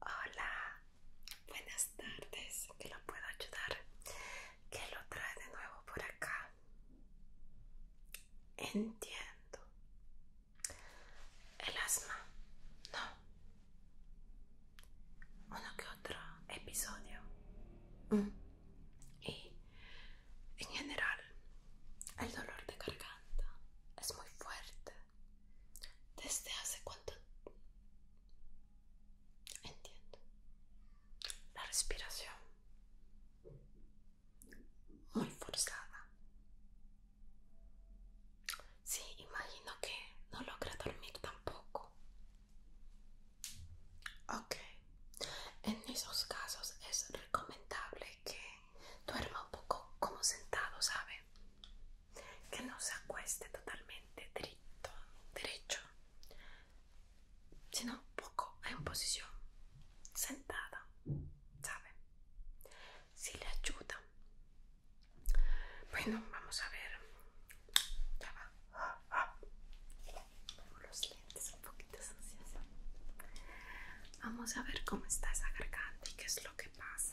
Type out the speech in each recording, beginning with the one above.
Hola, buenas tardes, Que lo puedo ayudar? que lo trae de nuevo por acá? Entiendo. El asma, no. Uno que otro episodio. Mm. Y en general, el dolor de garganta es muy fuerte. ¿Desde hace cuánto? Entiendo. La respiración. Muy forzada. Sí, imagino que no logra dormir tampoco. Ok. En esos casos es recomendable que duerma un poco como sentado, ¿sabe? Que no se acueste totalmente derecho, derecho sino un poco en posición sentada, ¿sabe? Si le ayuda. Bueno, vamos a ver. Ya va. Los lentes un poquito sucios. Vamos a ver cómo está esa garganta y qué es lo que pasa.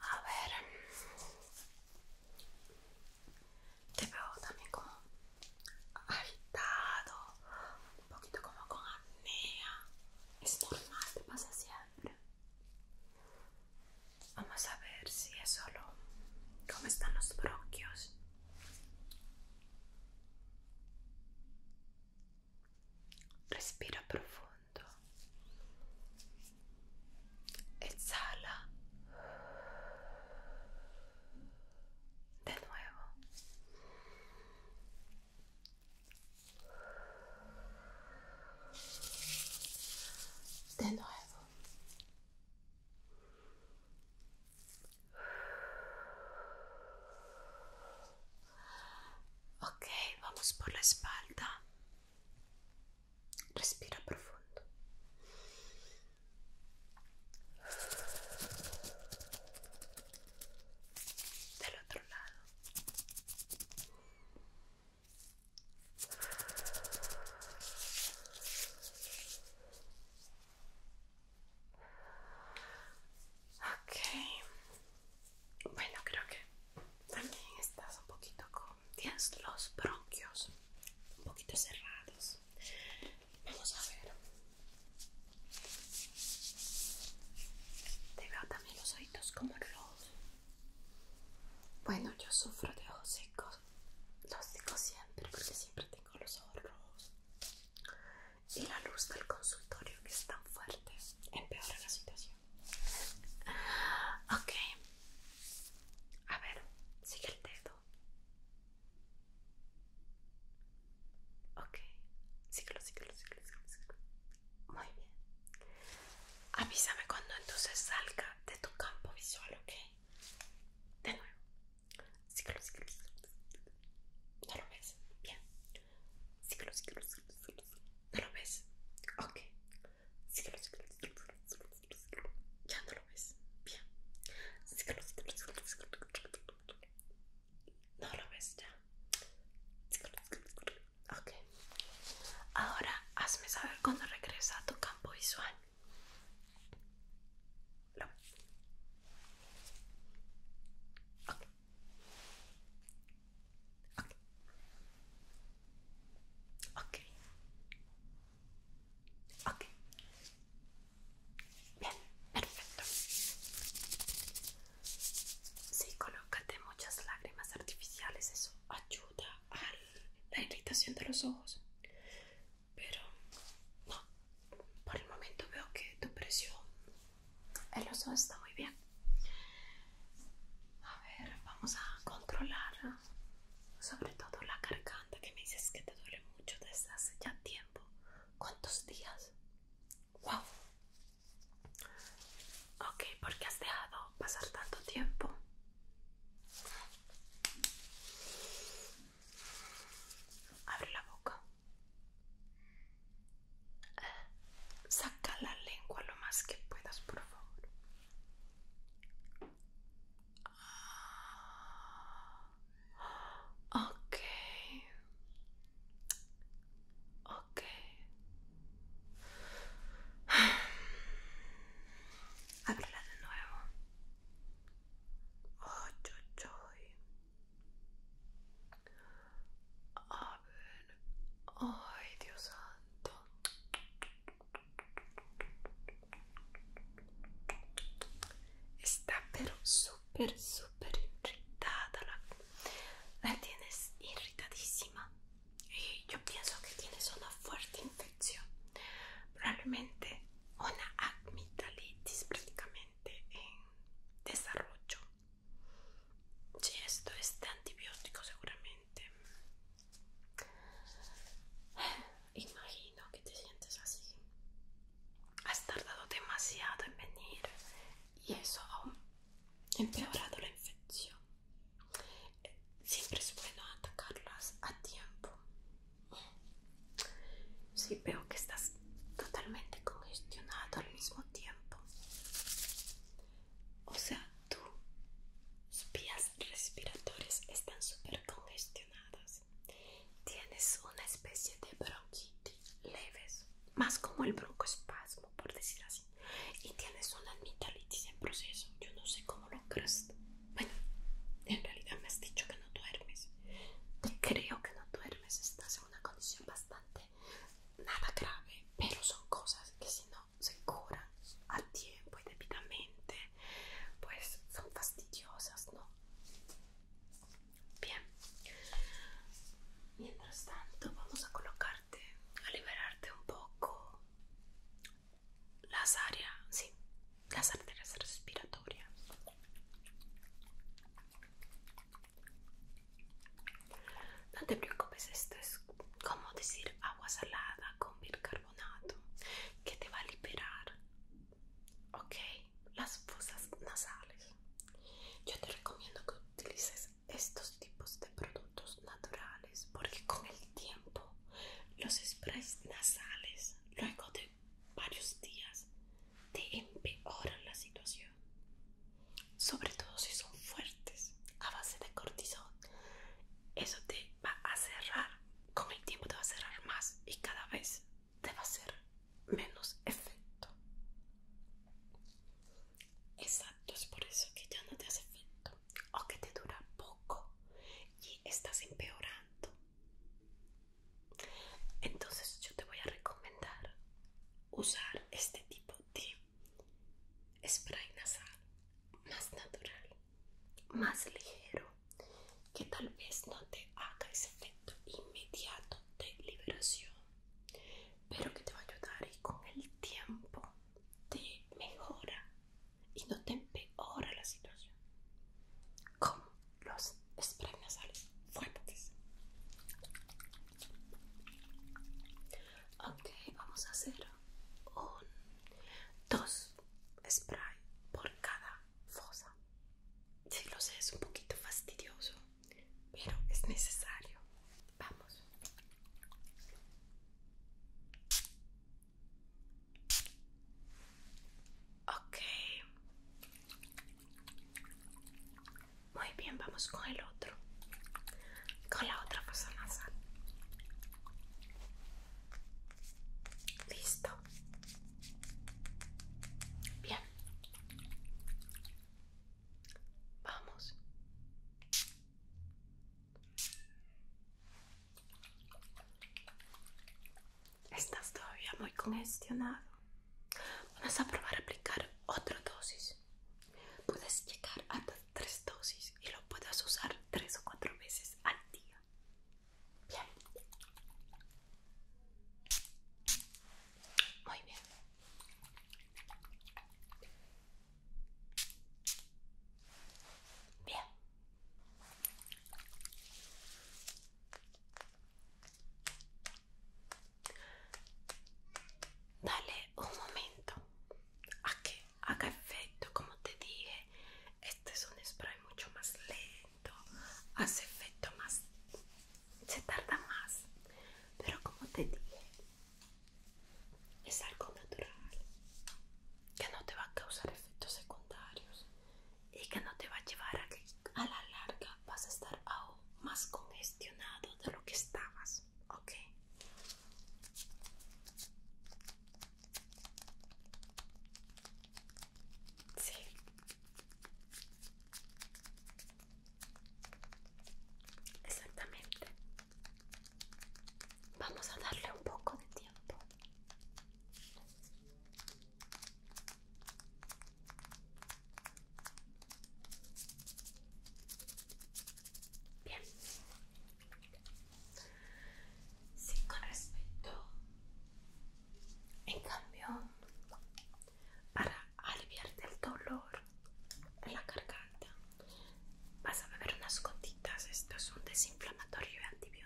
A ver. Te veo también como agitado, un poquito como con apnea. Es normal, te pasa siempre. Vamos a ver si es solo cómo están los bronquios. respira profondo, esala de nuevo. De nuevo. Ok, vamos por la espalda. Respira profondo. Del otro lado. Ok. Bueno, creo que también estás un poquito con. los bronquios un poquito cerrados. Vamos a ver. Te veo también los oídos como rojos Bueno, yo sufro de ojos secos. Los digo siempre porque siempre tengo los ojos rojos y la luz del consultorio que es tan fuerte empeora la situación. Ok, a ver, sigue el dedo. Ok, síguelo, síguelo, síguelo, síguelo, Muy bien. Avísame cuando entonces salga de tu campo visual, ok. De nuevo. Síguelo, síguelo, síguelo. ¿No lo ves? Bien. Síguelo, síguelo, síguelo, síguelo, síguelo. ¿No lo ves? Ok. Síguelo, síguelo, síguelo, síguelo, síguelo, Ya no lo ves. Bien. Síguelo, síguelo, síguelo, síguelo, síguelo. No lo ves ya. Síguelo, síguelo, síguelo. Ok. Ahora hazme saber cuando regresa a tu campo visual. No. Okay. Okay. Okay. Bien, perfecto. Sí, colócate muchas lágrimas artificiales, eso ayuda a la irritación de los ojos. Pero no, por el momento veo que tu presión el oso está muy bien. A ver, vamos a controlar sobre todo la garganta que me dices que te duele mucho desde hace ya tiempo. ¿Cuántos días? Ok, ¿por qué has dejado pasar tanto tiempo? Abre la boca. Saca la lengua lo más que puedas, por favor. Okay, okay. de nuevo. Oh, a ver. Ay, Dios santo. Está pero súper, súper irritada. La, la tienes irritadísima. Y eh, yo pienso que tienes una fuerte infección. Probablemente una acmitalitis prácticamente en desarrollo. Si esto es de antibiótico seguramente. Imagino que te sientes así. Has tardado demasiado en venir y eso ha empeorado la infección. Siempre es bueno atacarlas a tiempo si veo que estás totalmente congestionado al mismo tiempo. O sea, tus vías respiratorias están súper congestionadas. Tienes una especie de bronquitis leves, más como el broncoespasmo, por decir así. Y tienes una amigdalitis en proceso. Yo no sé cómo lo crees. Bueno, en realidad me has dicho que no duermes. Te creo que no duermes, estás una condición bastante nada grave, pero son cosas que si no se curan a tiempo y debidamente, pues son fastidiosas, ¿no? Bien, mientras tanto vamos a colocarte, a liberarte un poco las áreas, sí, las arterias respiratorias. No te preocupes, esto es como decir agua salada con bicarbonato que te va a liberar, las fosas nasales. Yo te recomiendo que utilices estos tipos de productos naturales porque con el tiempo los sprays nasales luego de varios días te empeoran la situación. Sobre todo si son fuertes, a base de cortisol. Eso te va a cerrar, con el tiempo te va a cerrar más y cada vez te va a hacer menos efecto. Exacto, es por eso que ya no te hace efecto o que te dura poco y estás empeorando. Entonces yo te voy a recomendar usar este tipo de spray nasal más natural, más ligero, que tal vez no te haga ese efecto inmediato de liberación, pero que te va a ayudar y con el tiempo te mejora y no te empeora la situación con los spray nasales fuertes. Ok, vamos a hacer un, dos spray por cada fosa. Si lo sé, es un poquito fastidioso, pero es necesario. Vamos. Ok, muy bien, vamos con el otro. Con la otra persona Listo. Bien. Vamos. Estás todavía muy congestionado. Vamos a probar a aplicar otra dosis. Puedes llegar hasta tres dosis y lo puedes usar tres o cuatro veces al día. Bien. Muy bien. Bien. Dale un momento a que haga efecto, como te dije. Este es un spray mucho más lento, hace efecto más, se tarda más, pero como te dije, es algo natural que no te va a causar efectos secundarios y que no te va a llevar a que a la larga vas a estar aún más congestionado de lo que estabas, ¿ok? Sí. Exactamente. Vamos a darle un poco de tiempo. Bien. sin con en cambio, para aliviar el dolor en la garganta, vas a beber unas gotitas. es un desinflamatorio y antibiótico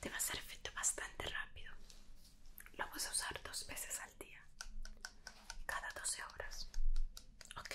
te va a hacer efecto bastante rápido lo vas a usar dos veces al día cada 12 horas ok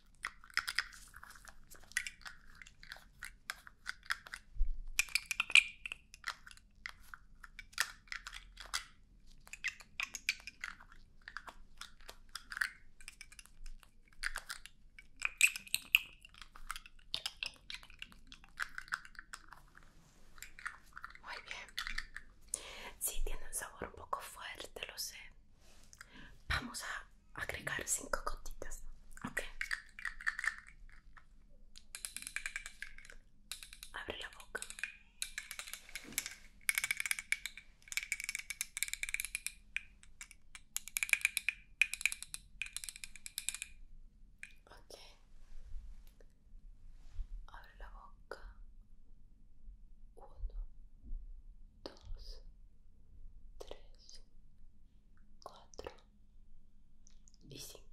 Muy bien. Sí, tiene un sabor un poco fuerte, lo sé. Vamos a agregar cinco gotitas, Okay. Abre la boca. Okay. Abre la boca. Uno, dos, tres, cuatro y cinco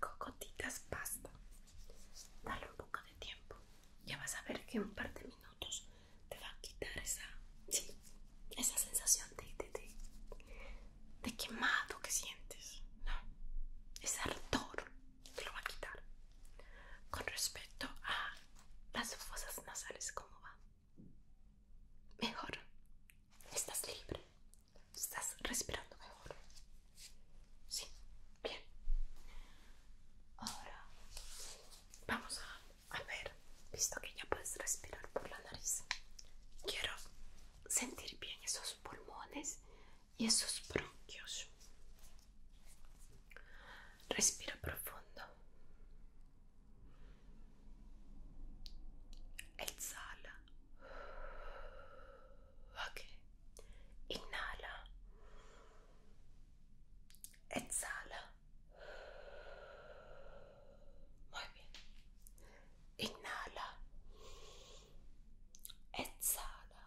cocotitas pasta basta. Dale un poco de tiempo. Ya vas a ver que en un par de minutos te va a quitar esa, sí, esa sensación de, de, quemado que sientes. No, ese ardor te lo va a quitar. Con respecto a las fosas nasales, ¿cómo va? Mejor. Estás libre. Estás respirando mejor. Sí, bien. Ahora vamos a, a ver, visto que ya puedes respirar por la nariz. Quiero sentir bien esos pulmones y esos bronquios. Respira profundo. Exhala. ok inala exhala muy bien inala exhala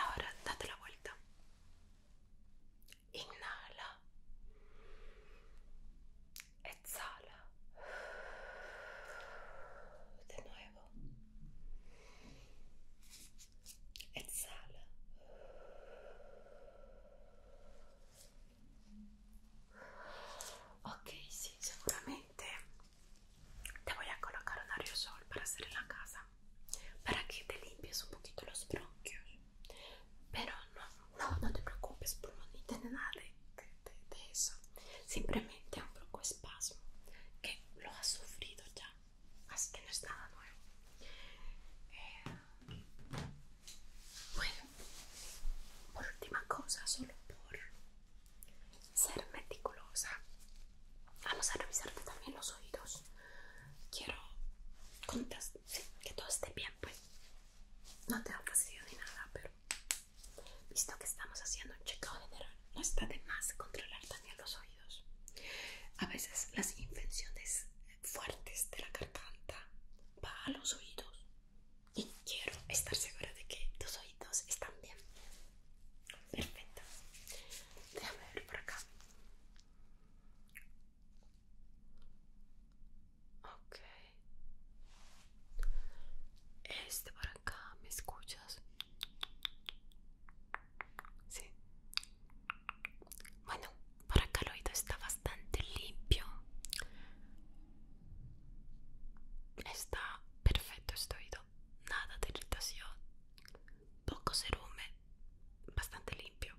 ahora date la vuelta inhala exhala de nuevo exhala ok sì sicuramente te voy a colocar un aerosol para hacer en la casa para que te limpies un poquito los bronquios pero no no, no te preocupes por no tener nada de, eso simplemente un poco espasmo que lo has sufrido ya así que no es nada nuevo eh, bueno por última cosa solo por ser meticulosa vamos a revisarte también los oídos quiero que todo esté bien pues no te ha pasado ni nada pero Visto que estamos haciendo un chequeo general, no está de más controlar también los oídos. A veces las infecciones fuertes de la garganta van a los oídos y quiero estar segura de que tus oídos están bien. Perfecto. Déjame ver por acá. Ok. Este por acá, ¿me escuchas? Sí. Bueno, por acá el oído está bastante limpio. Está perfecto este oído. Nada de irritación. Poco cerumen. Bastante limpio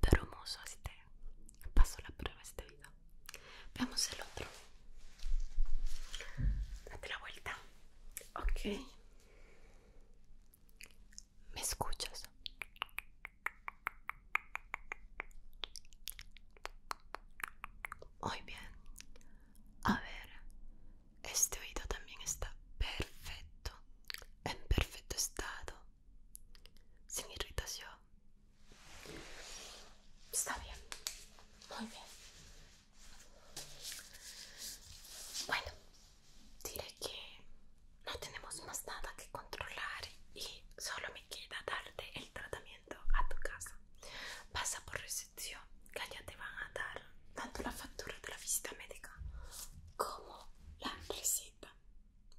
pero hermoso te este. paso la prueba este oído. veamos el otro date la vuelta ok me escuchas muy bien a ver este oído también está perfecto en perfecto estado sin irritación. Está bien, muy bien. Bueno, diré que no tenemos más nada que controlar y solo me queda darte el tratamiento a tu casa. Pasa por recepción, que allá te van a dar tanto la factura de la visita médica como la receta.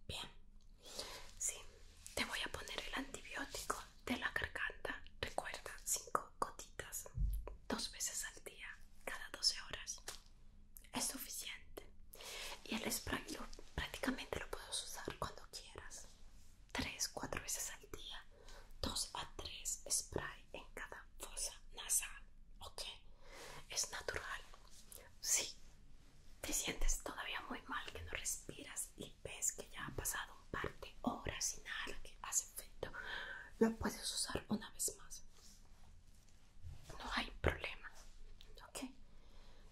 Bien, sí, te voy a poner el antibiótico de la garganta. Recuerda, 5 gotitas, dos veces al día, cada 12 horas. Es suficiente. Y el spray prácticamente lo puedes usar cuando quieras. 3, 4 veces al día, 2 a 3 spray en cada fosa nasal. ¿Ok? Es natural. Sí, te sientes todavía muy mal, que no respiras y ves que ya ha pasado un par de horas sin nada que hace efecto, lo puedes usar una vez más. No hay problema, ¿ok?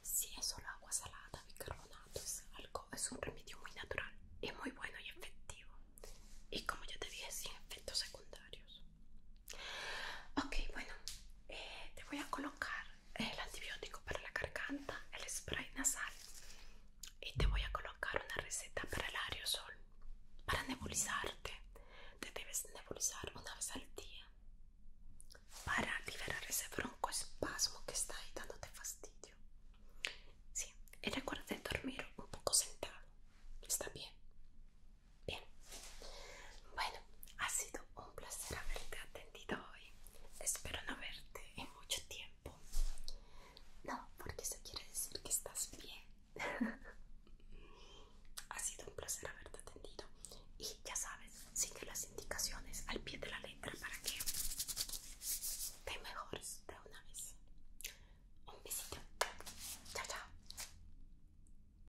Si es solo agua salada, bicarbonato, es algo, es un remedio muy natural y muy bueno y efectivo. Y como ya te dije, sin efectos secundarios. Ok, bueno, eh, te voy a colocar el antibiótico para la garganta, el spray nasal y te voy a colocar una receta para el aerosol, para nebulizarte. Te debes nebulizar una vez al día para liberar ese broncoespasmo que está ahí dándote fastidio. Sí, y recuerda dormir un poco sentado, está bien. Bien. Bueno, ha sido un placer haberte atendido hoy. Espero no verte en mucho tiempo. No, porque eso quiere decir que estás bien. ha sido un placer haberte atendido. Y ya sabes, sigue las indicaciones al pie de la letra para que te mejores de una vez. Un besito. Chao, chao.